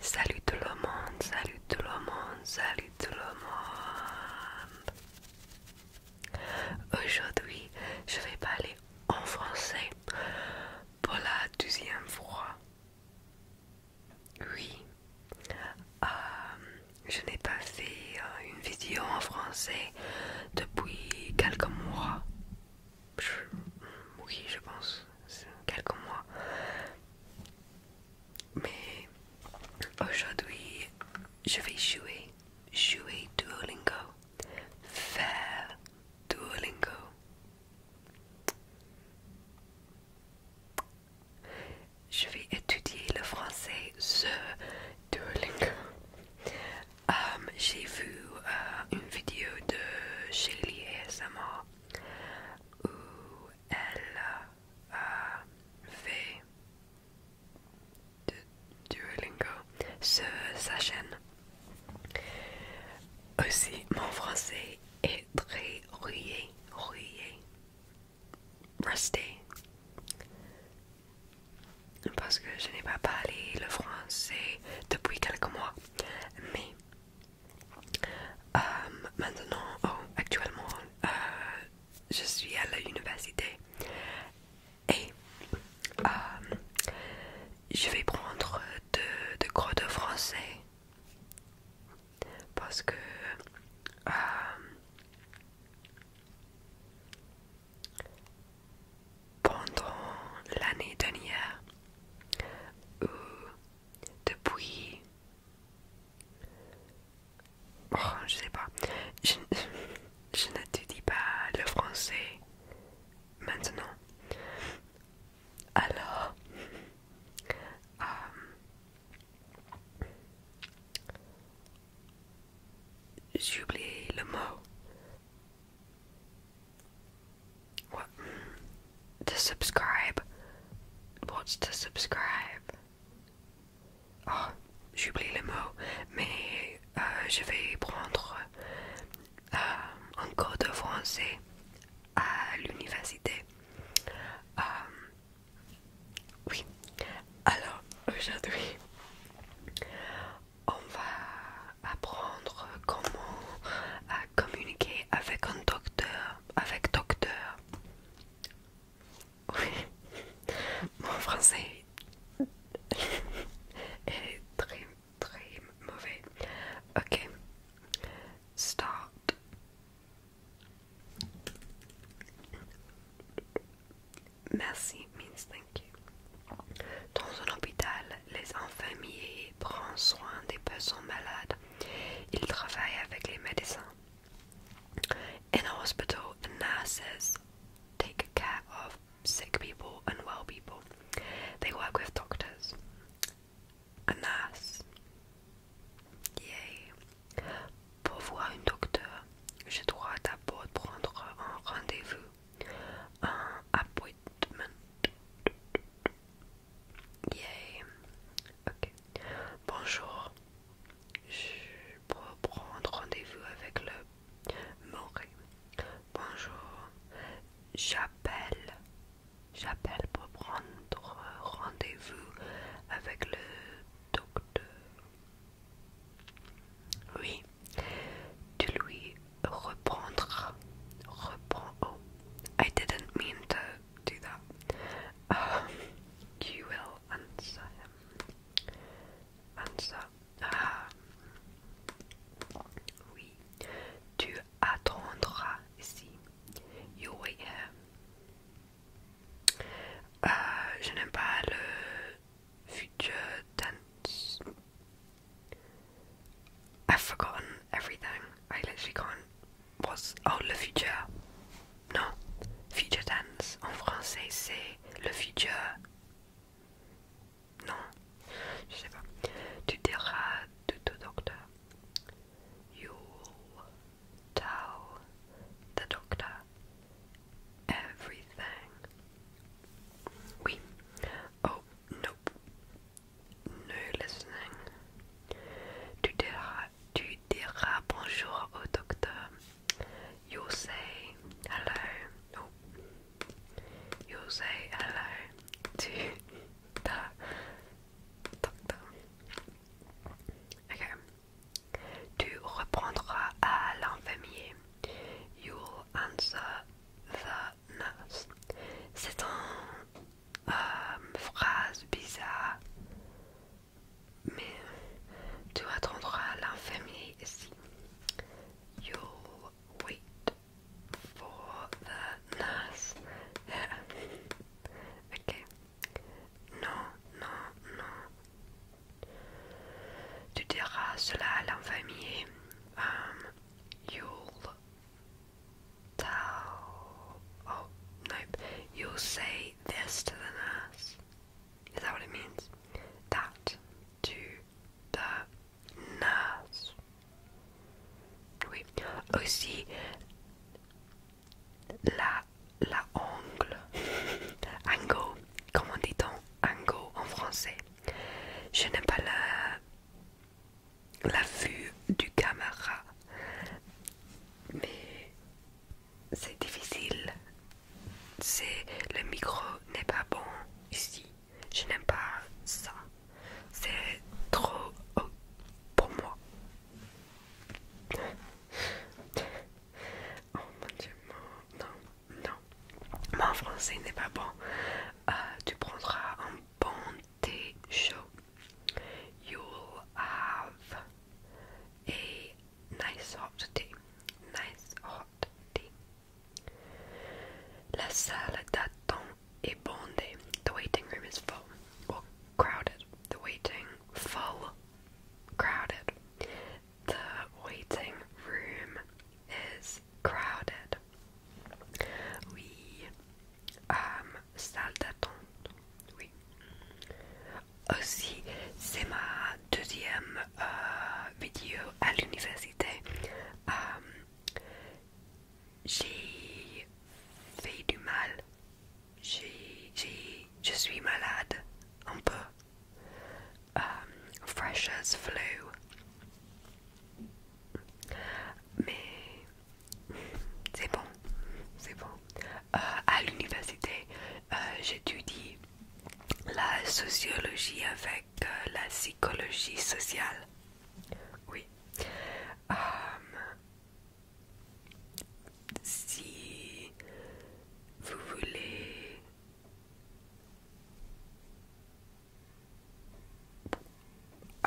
Salut tout le monde, salut tout le monde, salut tout le monde. Aujourd'hui, je vais parler en français pour la deuxième fois. Oui, euh, je n'ai pas fait euh, une vidéo en français depuis quelques mois. oui, je pense, quelques mois. Mais aujourd'hui, je vais jouer, jouer Duolingo, faire Duolingo. Je vais étudier le français Duolingo. Um, j'ai vu euh, une vidéo de Shelly mort où elle euh, fait de Duolingo sur sa chaîne. Aussi, mon français est très rouillé Rouillé Rusty parce que je n'ai pas parlé le français depuis quelques mois. Mais euh, maintenant, oh, actuellement, euh, je suis à l'université et euh, je vais prendre deux cours de français parce que pendant l'année dernière ou euh, depuis je oh, je sais pas je, n'étudie pas le français maintenant alors euh, J'oublie le mot. What? To subscribe. What's to subscribe? Oh, ah, j'oublie le mot, mais euh, je vais prendre euh, un cours de français à l'université. Euh, oui, alors aujourd'hui, on va apprendre comment euh, communiquer avec un docteur, avec docteur. Oui, mon français est très très mauvais. Ok, start. Merci means thank you. Dans un hôpital, les infirmiers prennent soin des personnes malades. Ils travaillent avec les médecins. In a hospital, nurses take care of sick people and well people. They work with doctors. A nurse. Yay. Pour voir un docteur, je droit d'abord prendre un rendez-vous, un appointment. Yeah. OK. Bonjour. Je peux prendre rendez-vous avec le Bonjour. J'appelle. J'appelle pour prendre rendez-vous avec le docteur. Oui, tu lui reprendras. Reprends. Oh, I didn't mean to do that. Um, you will answer Answer. Ah. Oui, tu attendras ici. You wait euh, je n'aime pas le future tense. I've forgotten everything. I literally can't. What's. Oh, le future. Non. Future tense. En français, c'est le futur. Non. Je sais pas. Tu diras de ton docteur. You Tao, the doctor, everything. We. Oh, nope. No listening. Tu diras, tu diras bonjour au docteur. You'll say hello. You'll say hello to the doctor. Tu reprendras à l'infirmier. You'll answer the nurse. C'est une euh, phrase bizarre. Mais tu attendras l'infirmier ici. You'll wait for the nurse. ok. No, no, no. you'll tell. Oh, nope. You'll say this to the nurse. Is that what it means? That to the nurse. Oui. Aussi, la, la ongle, angle, comment dit-on angle en français. Je n'aime pas la, la vue du caméra, mais c'est difficile. C'est le micro n'est pas bon ici. Je n'aime pas ça. C'est trop haut pour moi oh mon dieu, non, non. Mon français n'est pas bon. Euh, tu prendras un bon thé chaud. You'll have a nice hot tea. Nice hot tea. La salle d'attente est bondé. The waiting room is full. Well, crowded. The waiting full. Crowded. The waiting room is crowded. Oui. Um, salle d'attente. Oui. Aussi, c'est ma deuxième euh, vidéo à l'université. Um, j'ai fait du mal, j'ai, je suis malade un peu. Um, fresh flu. Mais c'est bon, c'est bon. Euh, à l'université, euh, j'étudie la sociologie avec euh, la psychologie sociale. Oui. Um,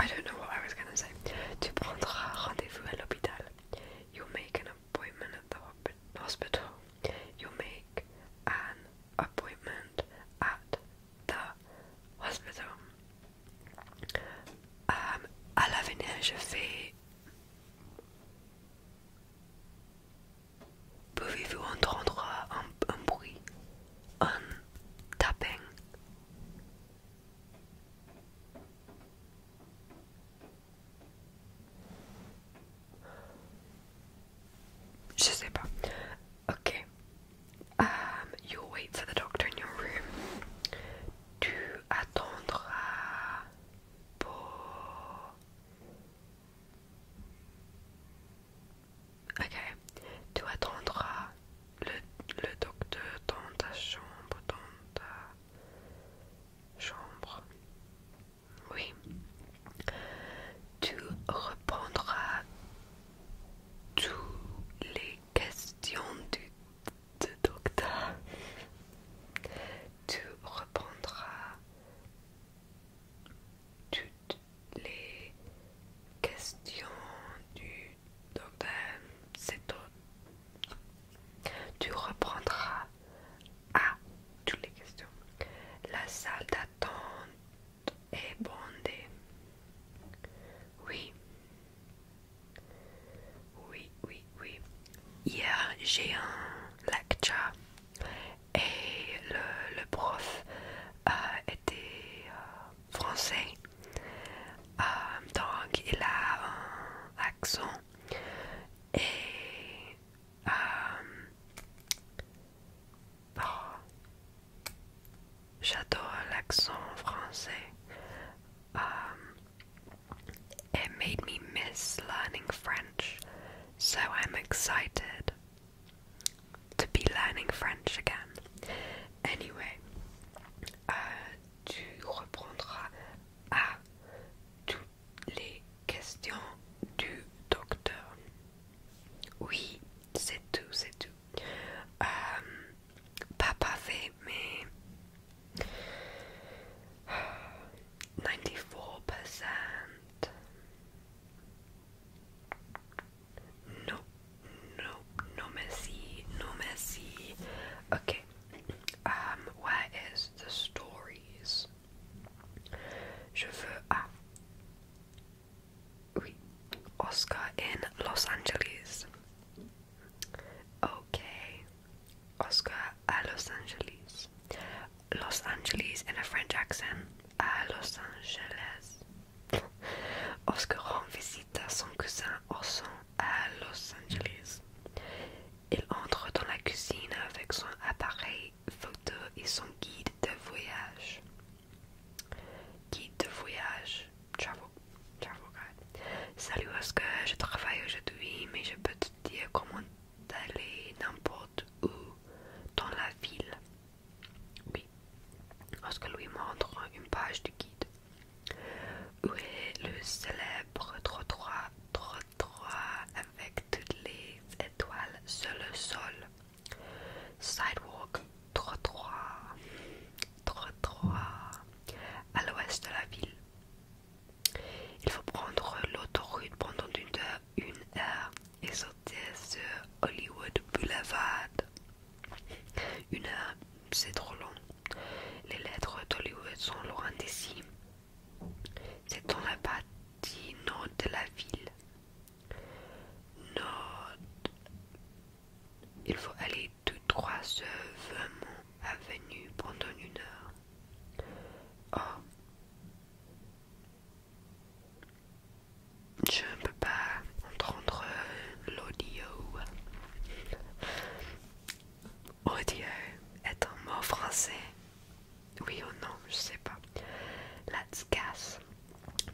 I don't know what I was gonna say. You'll make an appointment at the hospital. You will make an appointment at l'hôpital um, à l'avenir, je fais. Pouvez-vous entendre un, un bruit, un tapping? Je sais pas. Okay. Um, you'll wait for the doctor in your room. Tu attendras uh, pour. Okay. Tu attendras uh, le, le docteur dans ta chambre, dans ta chambre. Oui. Tu reprendras uh, tous les Question du docteur. Tu reprendras toutes les questions du docteur. C'est tout. Tu reprendras à toutes les questions. La salle d'attente et Oui. Oui, oui, oui. Hier, j'ai un lecture et le, le prof a euh, était euh, français. Euh, donc, il a un accent et Ah. J'adore l'accent français. Um, it made me miss learning French, so I'm excited to be learning French again. Anyway, uh, tu reprendras à toutes les questions du docteur. Oui, c'est tout, c'est tout. Um, Papa pas me 94%. Non, non, non merci, non merci. Okay, um, where is the stories? Je veux. Ah. Oui. Oscar in Los Angeles. Ok. Oscar à Los Angeles. Los Angeles in a French accent. À Los Angeles. Oscar rend visite à son cousin Orson à Los Angeles. Il entre dans la cuisine avec son appareil photo et son guide de voyage. Guide de voyage, Salut Oscar, je travaille aujourd'hui, mais je peux te dire comment aller n'importe où dans la ville. Oui, Oscar lui montre une page du guide. Où est le célèbre trottoir, trottoir avec toutes les étoiles sur le sol Sidewalk, trottoir, à l'ouest de la ville. Il faut prendre l'autoroute pendant une heure, et sortir sur Hollywood Boulevard. Une heure, c'est trop long. Les lettres d'Hollywood sont loin d'ici. C'est dans la partie nord de la ville. Note, Il faut aller tout trois sur Avenue pendant une heure. Oh. Je ne peux pas entendre euh, l'audio. Audio est un mot français oui ou non, je sais pas. La Tskas,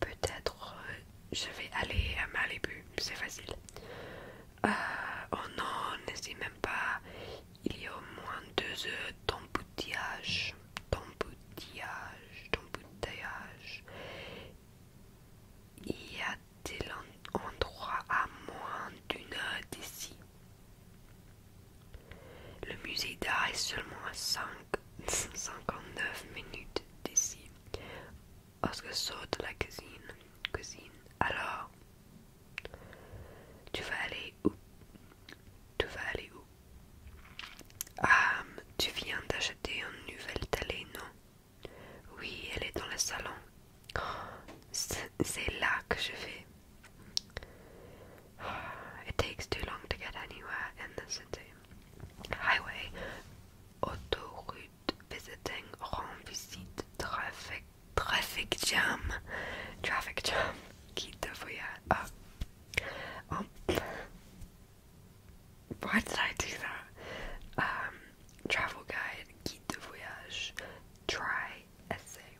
peut-être euh, je vais aller à Malibu, c'est facile. Euh, oh non, n'hésite même pas, il y a au moins deux heures d'embouteillage, d'embouteillage, d'embouteillage. Y a-t-il endroit à moins d'une heure d'ici le musée d'art est seulement à 5, 59 minutes d'ici. lorsque saute de la cuisine. cuisine. Alors, tu vas aller où Tu vas aller où Ah, tu viens d'acheter une nouvelle télé, non Oui, elle est dans le salon. Oh, c'est là que je vais. It takes too long to get anywhere in the city. Highway, autoroute, visiting, rend visite, traffic, traffic jam, traffic jam, guide de voyage. Ah. Oh. why did I do that? Um, travel guide, guide de voyage, try, essay.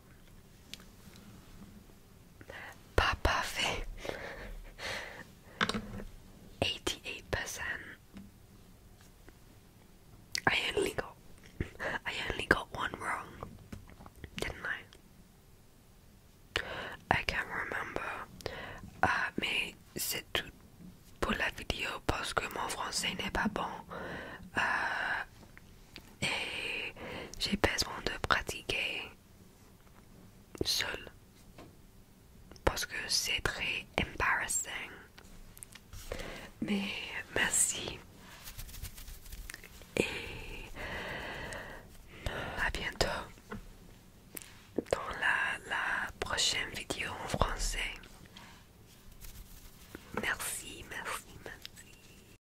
Pas parfait. 88%. I only got I only got one wrong, didn't I? I can't remember. Uh, mais c'est tout pour la vidéo parce que mon français n'est pas bon. Euh, et j'ai besoin de pratiquer seul parce que c'est très embarrassant. Mais merci et à bientôt dans la, la prochaine vidéo en français. Merci, merci, merci.